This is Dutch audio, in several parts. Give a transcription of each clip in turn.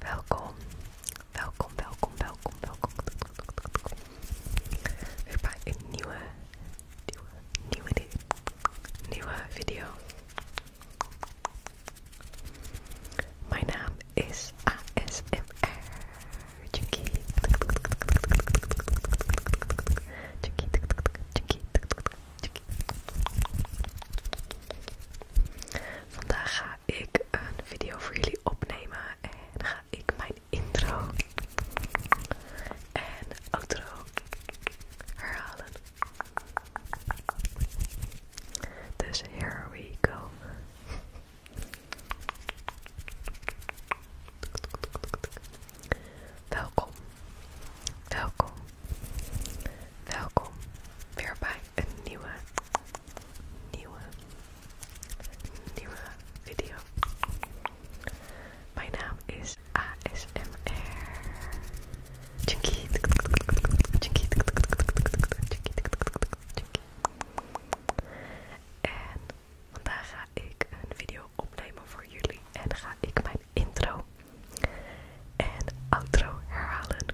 Welkom, welkom, welkom, welkom, welkom. Weer bij een nieuwe, nieuwe, nieuwe, nieuwe video. Mijn naam is ASMR. Junkie tik tik tik tik. Vandaag ga ik een video voor jullie opnemen en ga ik mijn intro en outro herhalen. Dus here we go. Welkom, welkom, welkom weer bij een nieuwe, nieuwe, nieuwe video. Mijn naam is ASMR Vandaag ga ik een video opnemen voor jullie en ga ik mijn intro en outro herhalen.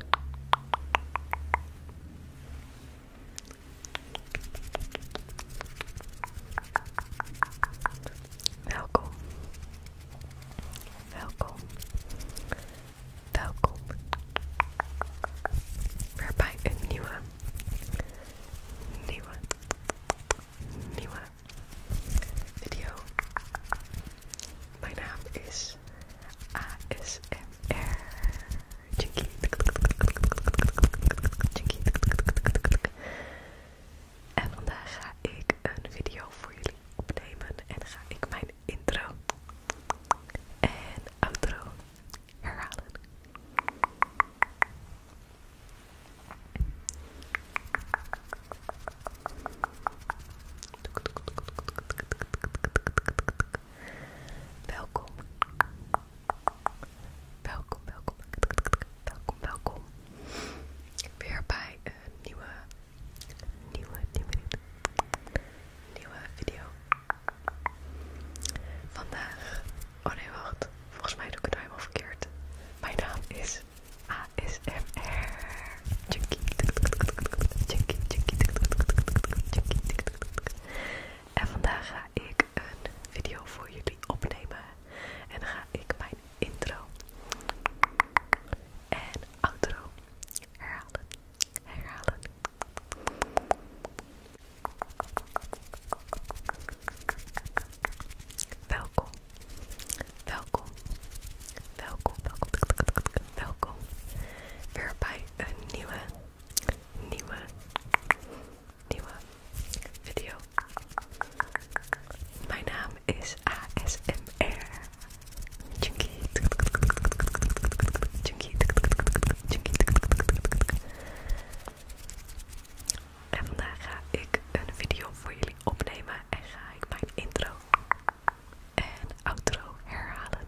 Welkom. Welkom. Welkom. Weer bij een nieuwe, nieuwe, nieuwe video. Mijn naam is ASMR En vandaag ga ik een video voor jullie opnemen en ga ik mijn intro en outro herhalen. Welkom. Welkom, welkom. Welkom, welkom. Weer bij een nieuwe, nieuwe, nieuwe, nieuwe video. Vandaag, oh nee wacht, volgens mij doe ik het nou helemaal verkeerd. Mijn naam is ASMR. En vandaag ga ik een video voor jullie opnemen. En ga ik mijn intro en outro Herhalen. Welkom Welkom, welkom, welkom, welkom weer bij een nieuwe, nieuwe, nieuwe video. Mijn naam is ASMR en vandaag ga ik een video voor jullie opnemen en ga ik mijn intro en outro herhalen.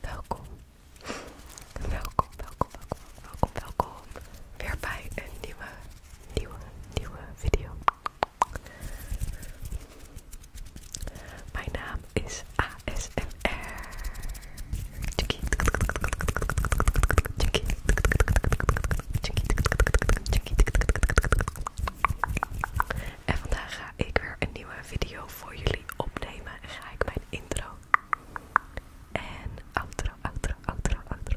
Welkom. Welkom, welkom, welkom, welkom, welkom. Weer bij een nieuwe, nieuwe, nieuwe video. Mijn naam is ASMR. Tjinkie. En vandaag ga ik weer een nieuwe video voor jullie opnemen en ga ik mijn intro en outro, outro, outro, outro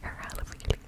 herhalen voor jullie.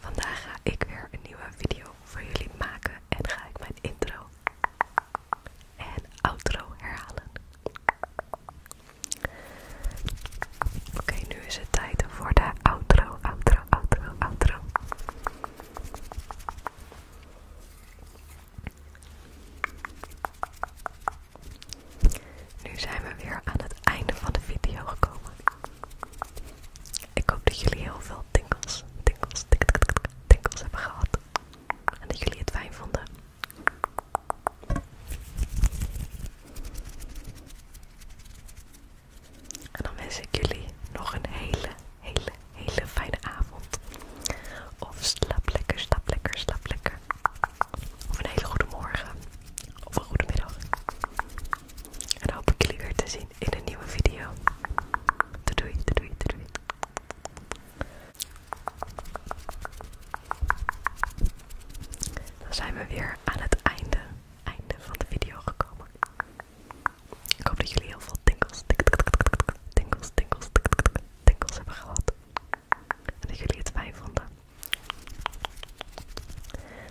Vandaag ga ik weer een nieuwe video voor jullie maken en ga ik mijn intro en outro herhalen. Oké, nu is het tijd voor de outro, outro, outro, outro. Nu zijn we weer aan het einde van de video gekomen. Ik hoop dat jullie heel veel tinkels, tinkels, tinkels hebben gehad. En dat jullie het fijn vonden. En dan wens ik jullie nog een hele, hele, hele fijne avond. Of slaap lekker, slaap lekker, slaap lekker. Of een hele goede morgen. Of een goede middag. En dan hoop ik jullie weer te zien in een nieuwe video. Doei, doei, doei, Dan zijn we weer aan het einde, einde van de video gekomen. Ik hoop dat jullie heel veel tinkels, tinkels, tinkels, tinkels, tinkels, hebben gehad. En dat jullie het fijn vonden.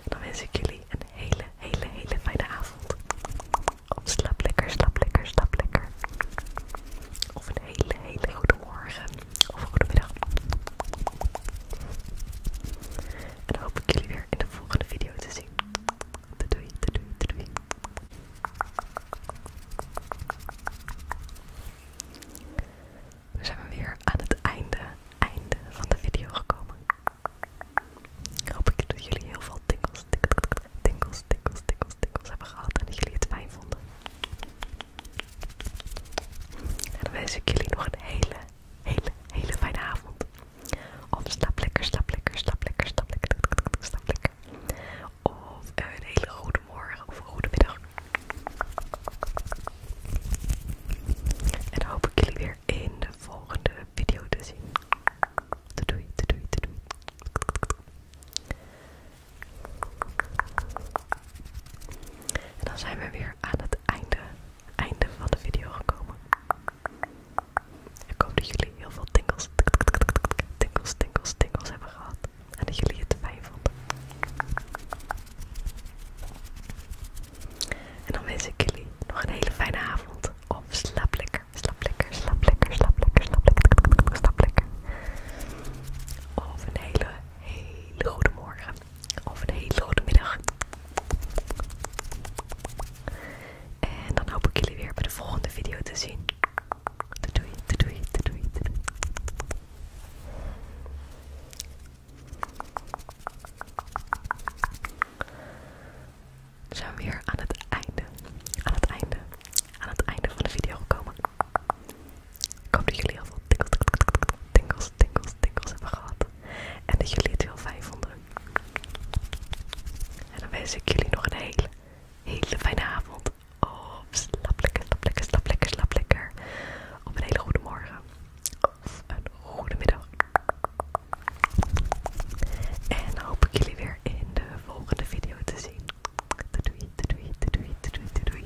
Dan wens ik jullie een hele, hele, hele fijne avond. Of lekker, slap lekker, slap lekker. Of een hele, hele goede morgen. Of een goede middag. En dan hoop ik jullie weer in de volgende video te zien. Doei, doei, doei, doei. We zijn weer aan het einde, einde van de video gekomen. Hoop ik dat jullie heel veel tikkels, tikkels, tikkels, tikkels, tikkels hebben gehad en dat jullie het fijn vonden. En dan wens ik jullie nog een hele, hele, hele fijne avond. Of stap lekker, stap lekker, stap lekker, stap lekker, stap lekker. Of een hele goede morgen of een goede middag. En hoop ik jullie weer in de volgende video te zien. Doei, doei, doei, En dan zijn we weer aan het einde, einde van de video gekomen. Ik hoop dat jullie heel veel tingels, tingels, tingels, hebben gehad en dat jullie het fijn vonden. En dan wens ik jullie nog een hele fijne avond. Of slaap lekker, slaap lekker, slaap lekker, slaap lekker, slaap lekker, slap Of een hele, hele goede morgen. Of een hele goede middag. En dan hoop ik jullie weer bij de volgende video te zien. We zijn weer aan het einde, aan het einde, aan het einde van de video gekomen. Ik hoop dat jullie heel veel tinkels, tinkels, tinkels, tinkels hebben gehad. En dat jullie het heel fijn vonden. En dan wens ik jullie nog een hele, hele fijne avond. Oh, slap lekker, slap lekker, slap lekker, slap lekker. Op een hele goede morgen. Of een goede middag. En hoop ik jullie weer in de volgende video te zien. doei, doei, doei, doei, doei.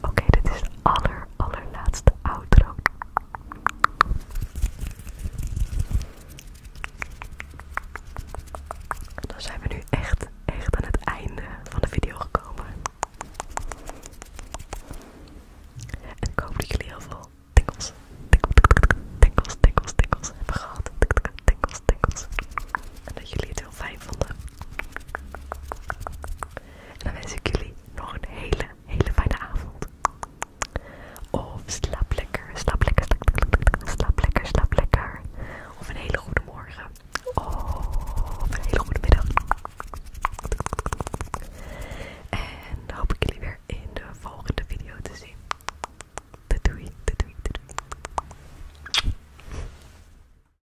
Oké, dit is de aller, allerlaatste outro. Dan zijn we nu echt, echt aan het einde van de video gekomen. En ik hoop dat jullie heel veel tikels, tikels, tikels, hebben gehad. tikels, En dat jullie het heel fijn vonden. En dan wens ik jullie nog een hele, hele fijne avond. Of slaap lekker, slaap lekker, slaap lekker, slaap lekker, slaap lekker. Of een hele goede morgen. Of een hele goede middag. En dan hoop ik jullie weer in de volgende video te zien. doei, doei,